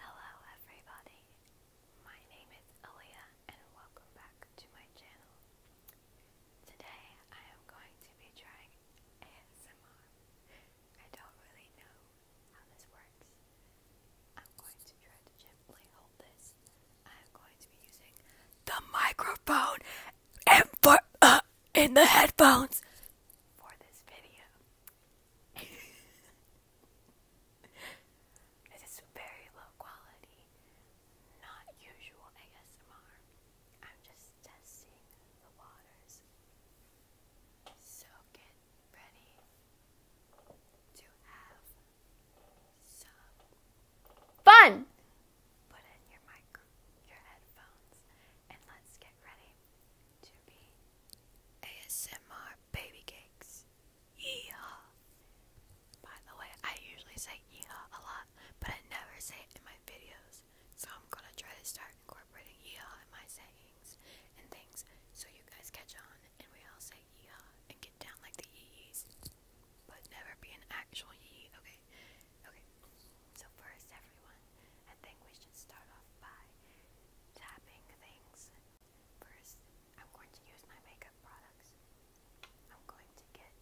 Hello everybody, my name is Aaliyah and welcome back to my channel. Today I am going to be trying ASMR. I don't really know how this works. I'm going to try to gently hold this. I'm going to be using the microphone and for, uh, in the headphones for this video. this is very low quality, not usual ASMR. I'm just testing the waters. So get ready to have some fun. Put in your mic your headphones, and let's get ready to be ASMR baby cakes. Yeehaw! By the way, I usually say yeehaw a lot, but I never say it in my videos, so I'm gonna try to start incorporating yeehaw in my sayings and things so you guys catch on and we all say yeehaw and get down like the yees, but never be an actual yee, okay? Okay. So first everyone, I think we should start off by tapping things. First, I'm going to use my makeup products. I'm going to get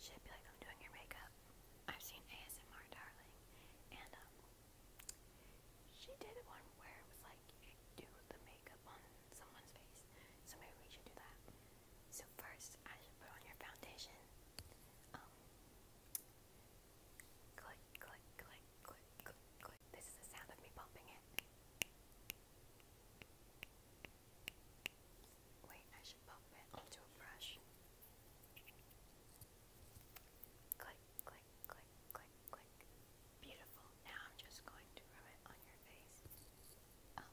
should be like I'm doing your makeup. I've seen ASMR darling and um she did one where it was like do the makeup on someone's face. So maybe we should do that. So first, I should put on your foundation. Um, click, click, click, click, click, click. This is the sound of me pumping it. Wait, I should pump it onto a brush. Click, click, click, click, click. Beautiful. Now I'm just going to rub it on your face. Um,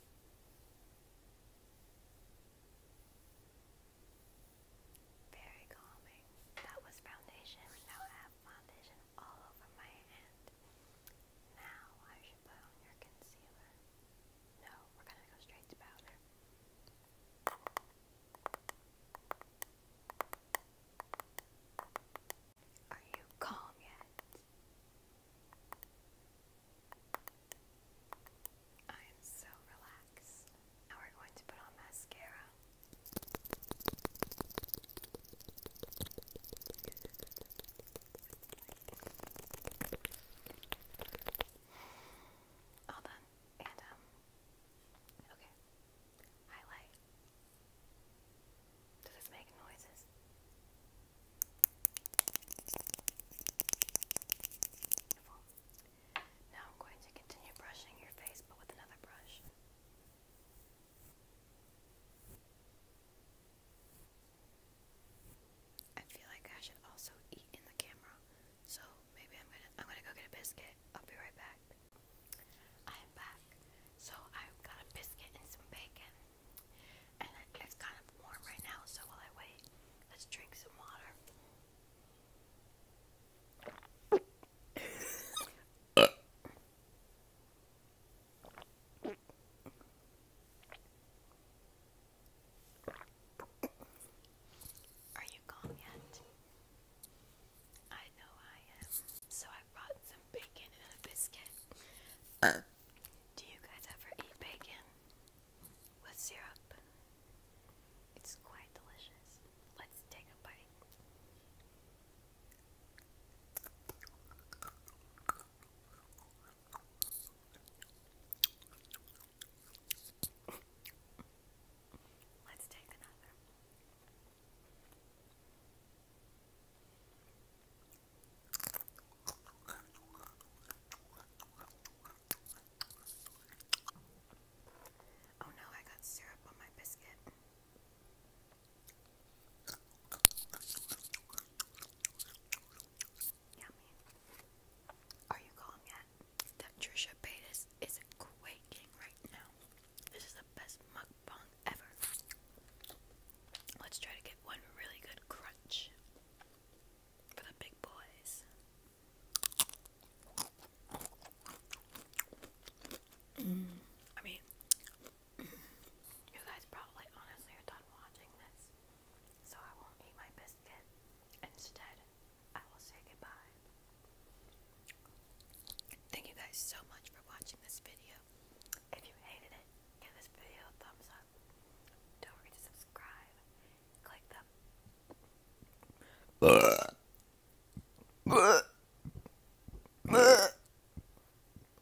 Very calming. That was foundation. Now I have foundation all over my hand. Now I should put on your concealer. No, we're gonna go straight to powder. Are you calm yet? I am so relaxed. Now we're going to put on mascara. All done. And, um, okay. Highlight. Now I'm going to continue brushing your face but with another brush. I feel like I should also eat in the camera. So maybe I'm gonna I'm gonna go get a biscuit. I'll be right back. I am back. So I got a biscuit and some bacon. And it's kind of warm right now, so while I wait, let's drink some water. Are you calm yet? I know I am. So I brought some bacon and a biscuit. Uh. Do you guys ever eat bacon with syrup? It's quite delicious. Let's take a bite. Let's take another. Oh no, I got syrup on my biscuit. Yummy. Are you calm yet? That Trisha Paytas is quaking right now. This is the best mukbang ever. Let's try to get one really good crunch for the big boys. Mm. I mean, you guys probably honestly are done watching this so I won't eat my biscuit. Instead, I will say goodbye. Thank you guys so much for watching this video. If you hated it, give this video a thumbs up. Don't forget to subscribe. Click the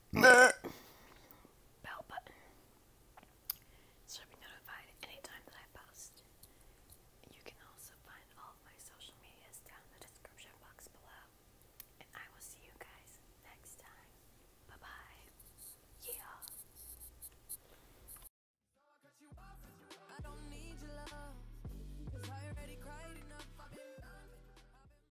bell button. So be notified anytime that I post. You can also find all my social medias down the description box below. And I will see you guys next time. Bye bye. Yeah.